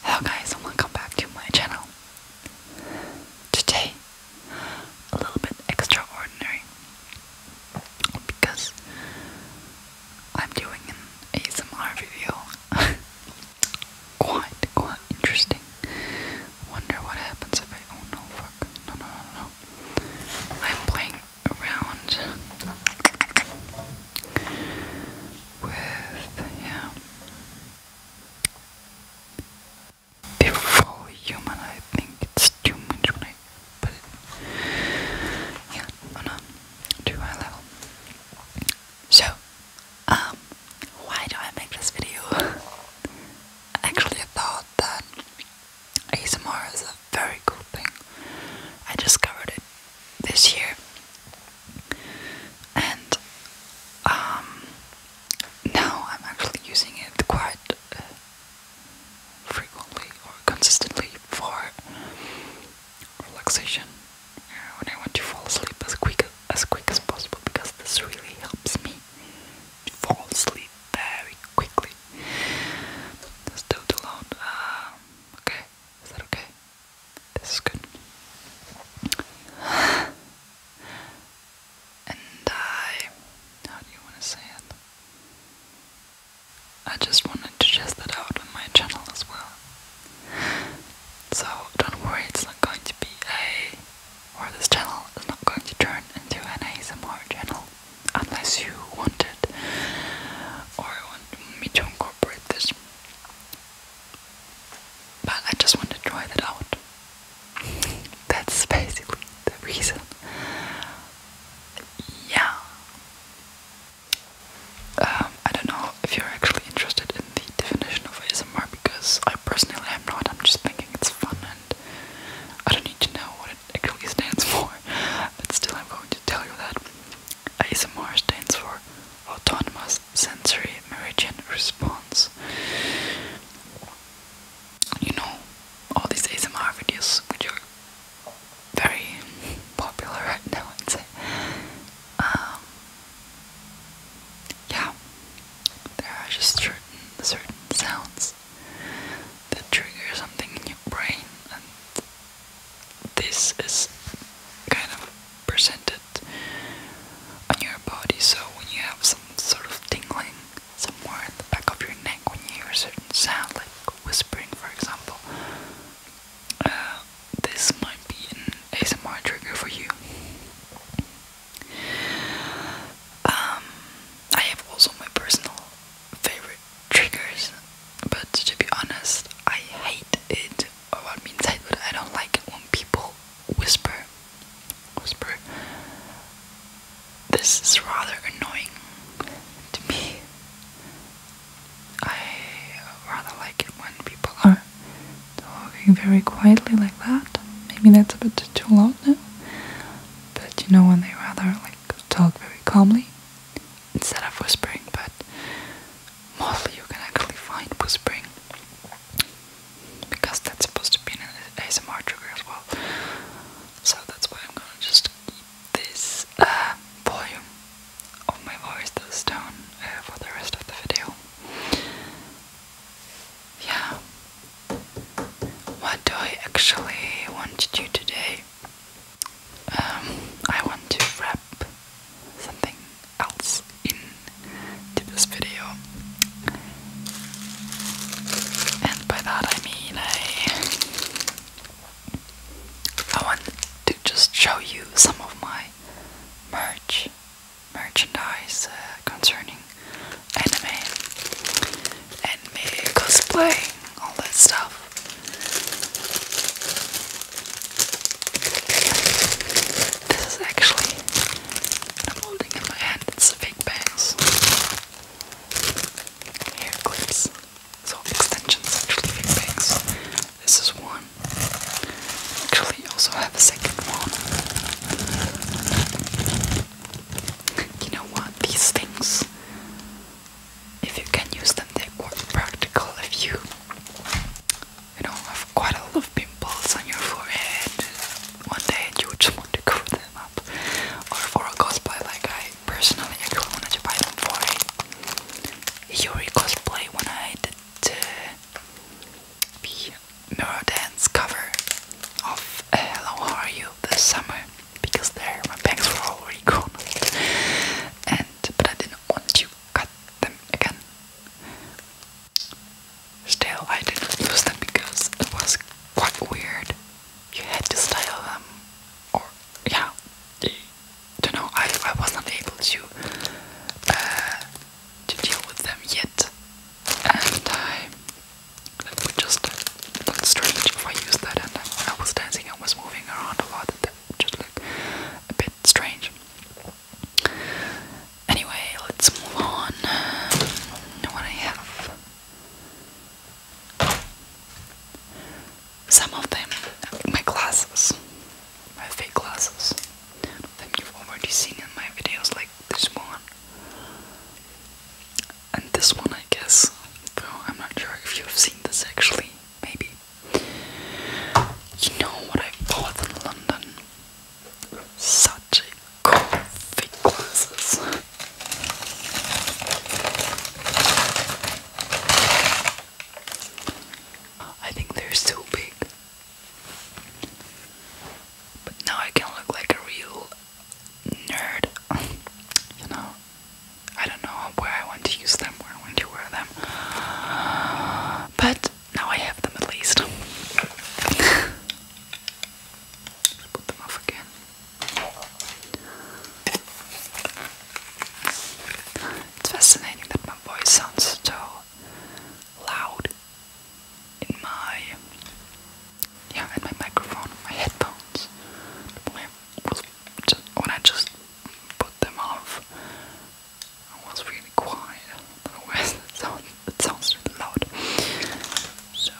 Hello guys and welcome back to my channel. Today, a little bit extraordinary because I'm doing an ASMR video. quite, quite interesting. Wonder what happens if I. Oh no, fuck. No, no, no, I'm playing around with yeah, the full human. I think it's too much when I put it too high level. So, um, why do I make this video? Actually, I thought that ASMR is a very cool thing. I discovered it this year and um, now I'm actually using it quite uh, frequently or consistently for relaxation uh, when I want to fall asleep as quick as quick as possible because this really helps me fall asleep very quickly. That's still too loud. Uh, okay, is that okay? This is good. And I. How do you want to say it? I just wanted to test that out on my channel as well. So don't worry, it's not going to be a. or this channel is not going to turn into an ASMR channel unless you want or want me to incorporate this. But I just want to try that out. That's basically the reason. Yeah. Um, I don't know if you're actually interested in the definition of ASMR because I personally am not. I'm just thinking it's fun and I don't need to know what it actually stands for. But still, I'm going to tell you that. ASMR stands for Autonomous Sensory Meridian Response. You know, all these ASMR videos which are very popular right now, i um, yeah, there are just certain, sounds that trigger something in your brain, and this is kind of percentage on your body. So when you have some sort of tingling somewhere at the back of your neck, when you hear a certain sound, like whispering, for example, uh, this might be an ASMR trigger for you. Um, I have also my personal favorite triggers, but to be honest, I hate it about me inside, but I don't like when people whisper. Whisper. This is rather annoying to me. I rather like it when people are talking very quietly like that. Maybe that's a bit too loud now. But you know when they rather like talk very calmly instead of whispering, but mostly you can actually find whispering because that's supposed to be an ASMR trigger as well. So that's why I'm gonna just keep this uh, volume of my voice down uh, for the rest of the video. Yeah. What do I actually want to do today? Um, I want to wrap something else in this video. And by that I mean I I want to just show you some of my merch merchandise uh, concerning anime, anime cosplay, all that stuff. This is actually I'm holding in my hand. It's a big bangs. Hair clips. So extensions actually fake bangs. This is one. Actually also have a second one. You know what? These things if you can use them, they're quite practical if you you know, have quite a lot of pimples on your forehead. One day you just want to cover them up. Or for cosplay, like I personally actually wanted to buy them for a Yuri cosplay when I did the mirror dance cover of Hello uh, How Are You this summer because there my bangs were already gone. And but I didn't want to cut them again. Still, I didn't use them because it was quite weird. You had to style them, or yeah, don't know. I I was not able to uh, to deal with them yet, and I was just strange if I used that. And I was dancing, I was moving around a lot, and that just looked a bit strange. Anyway, let's move on. What I have. Some of them, my glasses, my fake glasses. that you've already seen in my videos, like this one, and this one, I guess. Though I'm not sure if you've seen this actually. Maybe you know what I bought in London? Such coffee glasses. I think they're so big. But now I can look like a real nerd. you know, I don't know where I want to use them, where I to wear them. But now I have them at least. put them off again. It's fascinating that my voice sounds so loud in my yeah, in my microphone, my headphones. When I just put them off, I was really quiet. It sounds really loud. So.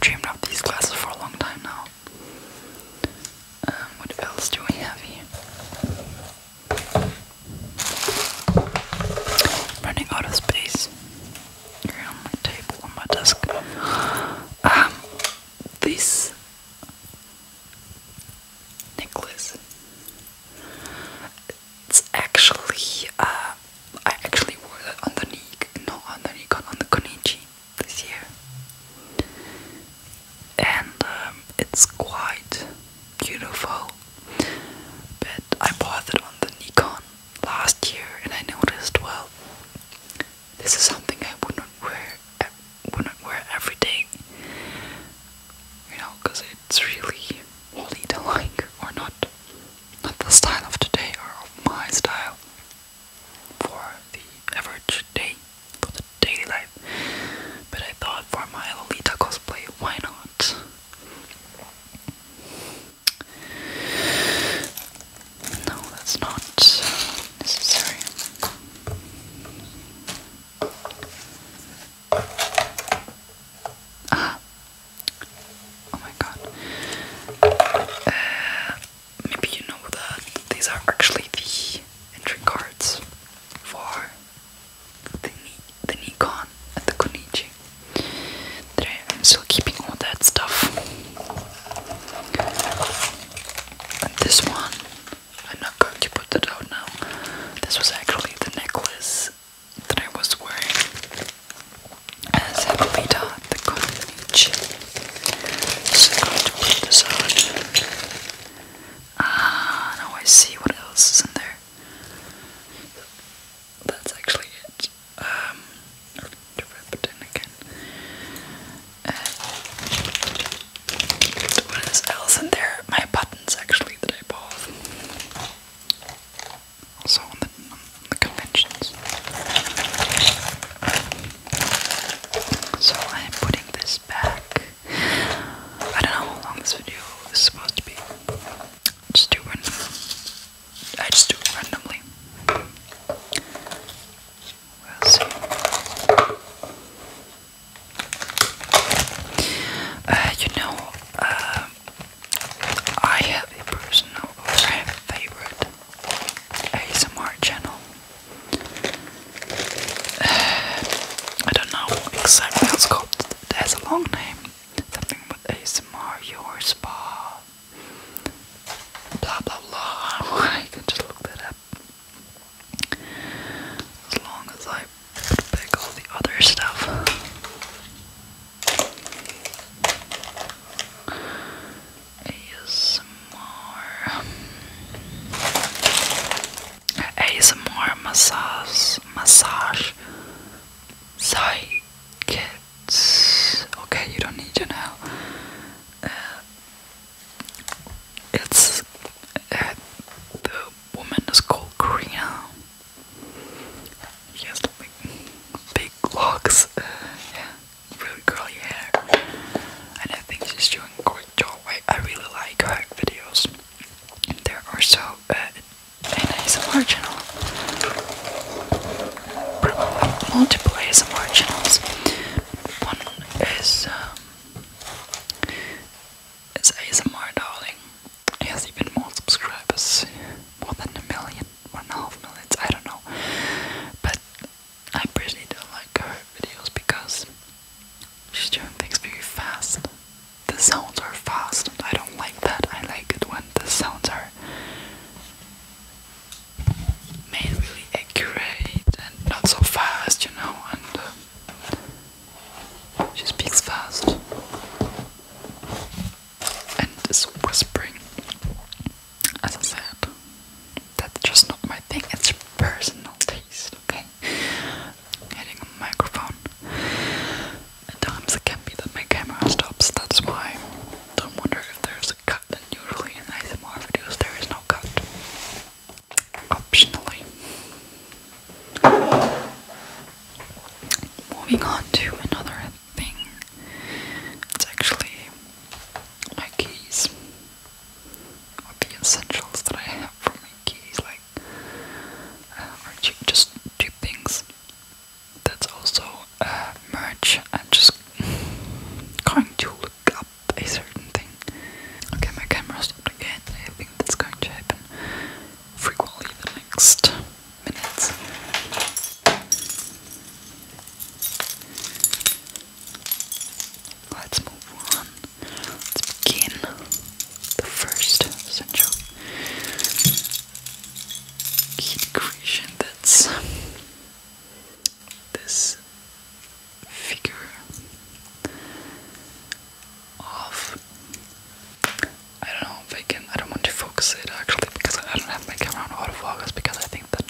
dreamed of these glasses for a long time now. Um, what else do we have here? running out of space here on my table, on my desk. Um, this necklace. It's actually, uh, I actually wore that on the knee, no, on the Konichi this year, and um, it's quite beautiful. But I bought it on the Nikon last year, and I noticed well, this is something I wouldn't wear, wouldn't wear every day, you know, because it's really all either like or not, not the style of today or of my style for the average day, for the daily life. But I thought for my Lolita cosplay, why not? No, that's not necessary. Ah! Oh my god. Uh, maybe you know that these are actually the entry cards for the, the Nikon and the Konichi. I'm still keeping all that stuff. this one, I'm not going to put that out now. This was actually the necklace that I was wearing as a beta the Konichi. So I'm going to put this out. Ah, now I see what else is in there. That's actually it. Um, to wrap it in again. Uh, what is else in there? My buttons actually that I bought. Also on the, on the conventions. So I am putting this back. I don't know how long this video is supposed to be. Just do I just do randomly. We'll see. Uh, you know, uh, I have a personal favorite ASMR channel. Uh, I don't know exactly how it's called. It a long name. Something with ASMR, your spa. Blah blah blah. I can just look that up. As long as I put all the other stuff. ASMR ASMR massage massage psychics okay you don't need to know uh, it's uh, the woman is called Karina she has big locks uh, yeah really curly hair and I think she's doing Joel. I, I really like her videos. They're also uh, an ASMR channel. Probably multiple ASMR channels. One is um, is ASMR Darling. He has even more subscribers, more than a million, one and a half millions. I don't know, but I personally don't like her videos because she's doing things very fast. The sounds are fast, I don't like that. I like it when the sounds are made really accurate and not so fast, you know. And uh, she speaks fast and is whispering. As I said, that's just not my thing. It's personal to face, okay? Hitting a microphone. At times it can be that my camera stops, that's why. do wonder if there's a cut, and usually in ASMR videos there is no cut. Optionally. Moving on to another thing. It's actually my keys the essentials that I have from keys, like, uh, just two things. That's also uh, I'm just going to look up a certain thing. Okay, my camera's stopped again. I think that's going to happen frequently the next minutes. Let's move on. Let's begin the first central heat that's this figure of I don't know if I can I don't want to focus it actually because I don't have my camera on autofocus because I think that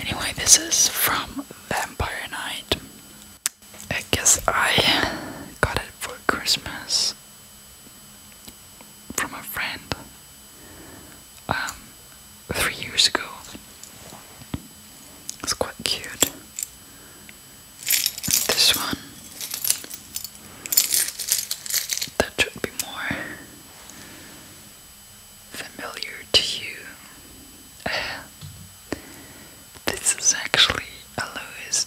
Anyway, this is from Vampire Night. I guess I got it for Christmas from a friend um, three years ago. It's quite cute. this one. That should be more familiar to you. Uh, this is actually a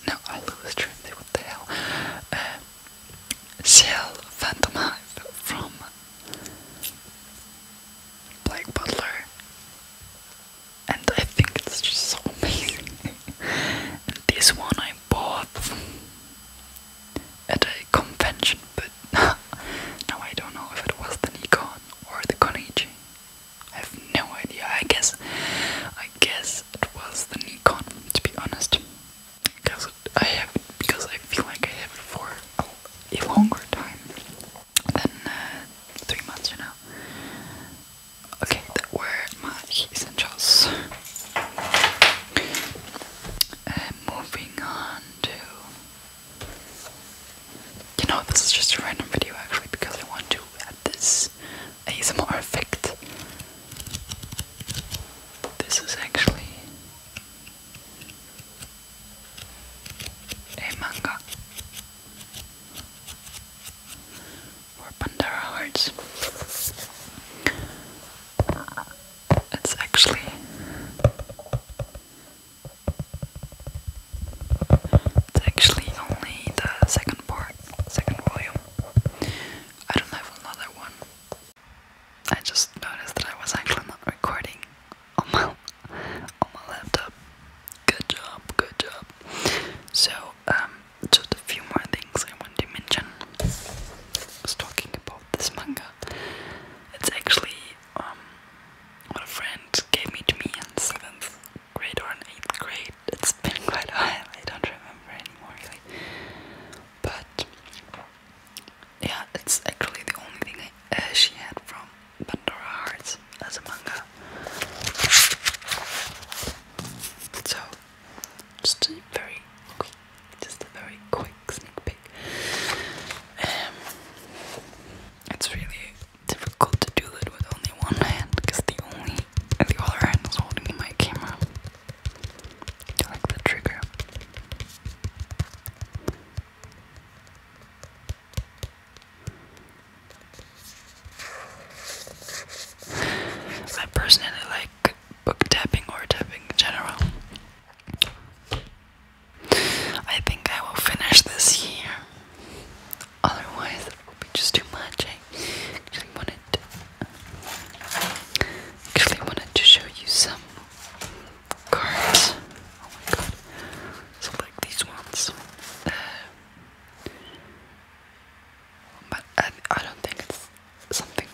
no, a Louis Trinity, what the hell? Uh, Shell Phantom from Blake Butler. And I think it's just so amazing. this one I bought at a convention, but now I don't know if it was the Nikon or the Konichi. I have no idea. I guess, I guess it was the Nikon. To be honest, because I have, because I feel like I have it for a, longer time than uh, three months, you know. Okay, that were my essentials. Uh, moving on to you know, this is just a random video actually because I want to add this ASMR effect. This is actually a manga for Pandora Hearts. It's actually it's actually only the second part, second volume. I don't have another one. I just noticed that I was actually not recording on my on my laptop. Good job, good job. So, um, just a few more things I want to mention. was talking about this manga. It's actually um, a friend gave me to me in 7th grade or in 8th grade. It's been quite a while, I don't remember anymore really. But yeah, it's actually the only thing uh, she had from Pandora Hearts as a manga. So, just a very just a very quick sneak um, it's really difficult to do it with only one hand because the only the other hand is holding my camera. Like the trigger. I personally like book tapping or tapping in general. I think I will finish this year. Otherwise, it will be just too much. actually wanted, actually wanted to show you some cards. Oh my god! So these ones, uh, but I, I don't think it's something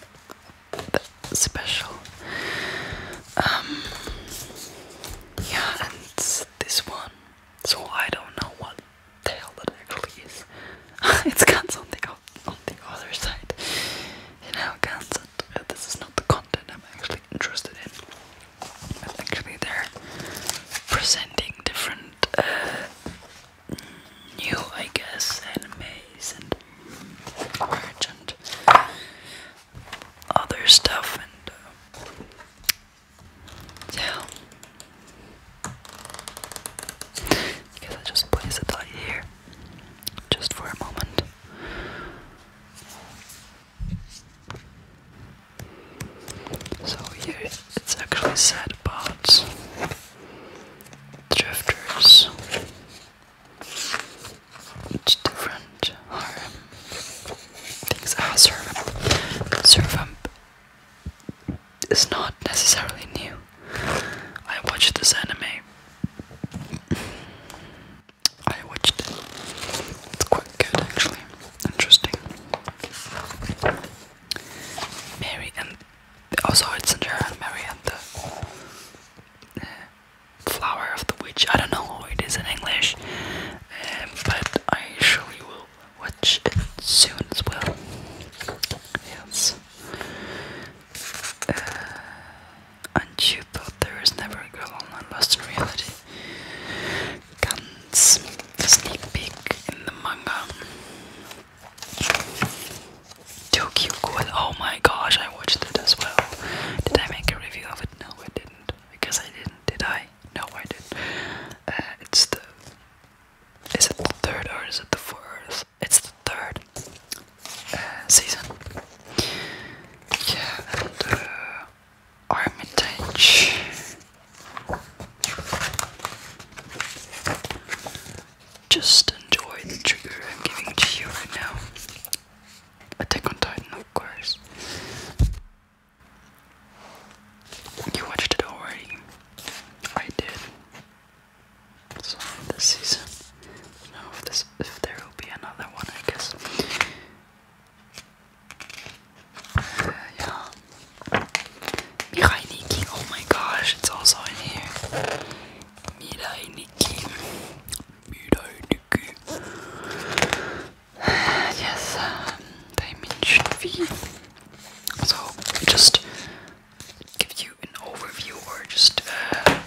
special. Um, yeah, and this one. So I don't know what the hell actually is. it's got something on the other side. You know, cancelled. Uh, this is not the content I'm actually interested in. actually, they're presenting different. Uh, new, I guess, animes and art other stuff and uh, yeah. I I just place it light here, just for a moment. So here it's actually said about drifters each different things. Ah, Servamp. Servamp is not necessarily new. I watched this anime. I watched it. It's quite good, actually. Interesting. Mary and oh, also it's Sarah and Mary and the. Uh, flower of the witch. I don't know what it is in English, um, but I sure you will watch it soon as well. Yes. Uh, and you thought there was never a girl online lost in reality. Guns. The sneak peek in the manga. Tokyo Ghoul. Oh my gosh, I watched it as well. Did I make a review of it? No, I didn't. Because I didn't, did I? No, I didn't. Uh, it's the. Is it the third or is it the fourth? It's the third uh, season. Yeah, and uh, Armitage. Just enjoy the trigger I'm giving to you right now. Attack on Titan, of course. You watched it already. I did. So this season. Now if there will be another one I guess. yeah. Mirai Nikki, oh my gosh, it's also in here. Mirai Nikki. Yes, um, dimension V. So, just give you an overview or just uh,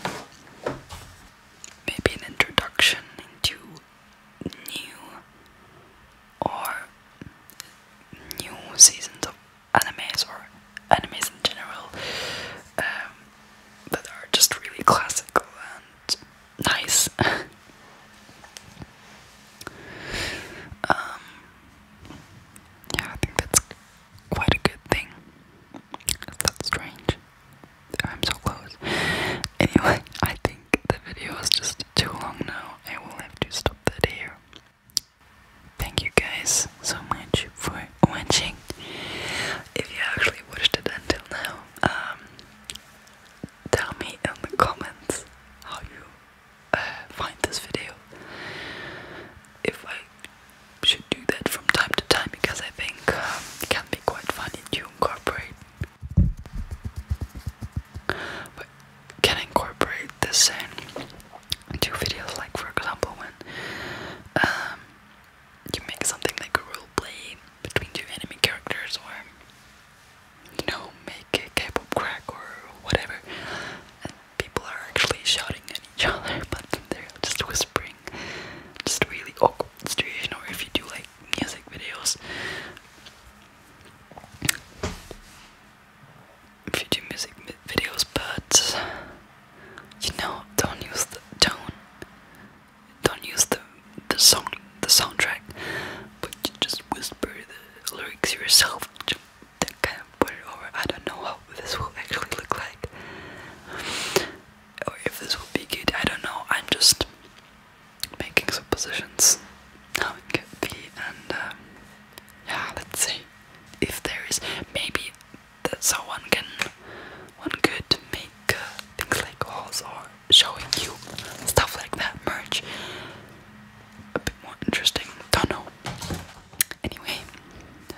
maybe an introduction into new or new seasons of animes or animes in general. Um, that are just really classical and nice. Um, yeah, I think that's quite a good thing. That's strange. I'm so close. Anyway, I think the video is just too long now. I will have to stop that here. Thank you guys so much for for watching. If you actually watched it until now, um, tell me in the comments how you uh, find this video. If I should do that from time to time because I think um, can be quite funny to incorporate. But can incorporate this in two videos, like for example when um, you make something like a role play between two enemy characters or you know, make a K-pop crack or whatever people are actually shouting at each other but they're just whispering just really awkward situation or if you do like music videos if you do music videos but you know, don't use the tone don't use the the song the soundtrack, but you just whisper the lyrics yourself. Just, that kind of put it I don't know how this will actually look like, or if this will be good. I don't know. I'm just making suppositions how it and um, yeah, let's see if there is maybe that's how one can one could make uh, things like hauls or showing you stuff like that merge a bit more interesting. Don't know. Anyway,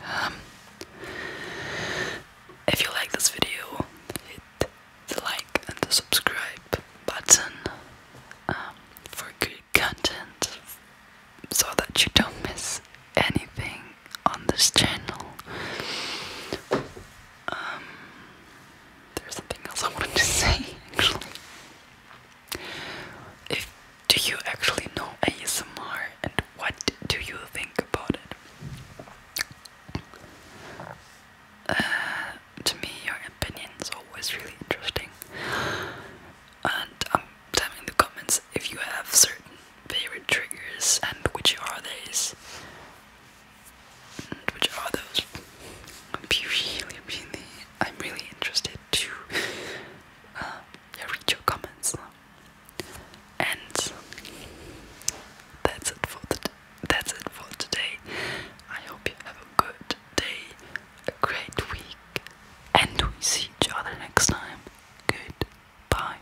um, if you like this video, hit the like and the subscribe button um, for good content so that you don't miss anything on this channel. Um, there's something else I wanted to say If do you actually know ASMR and what do you think about it? Uh, to me, your opinion is always really interesting, and um, tell me in the comments if you have certain favorite triggers and which are these? And which are those? i am really interested to uh, read your comments. And that's it for the that's it for today. I hope you have a good day, a great week, and we see each other next time. Good bye.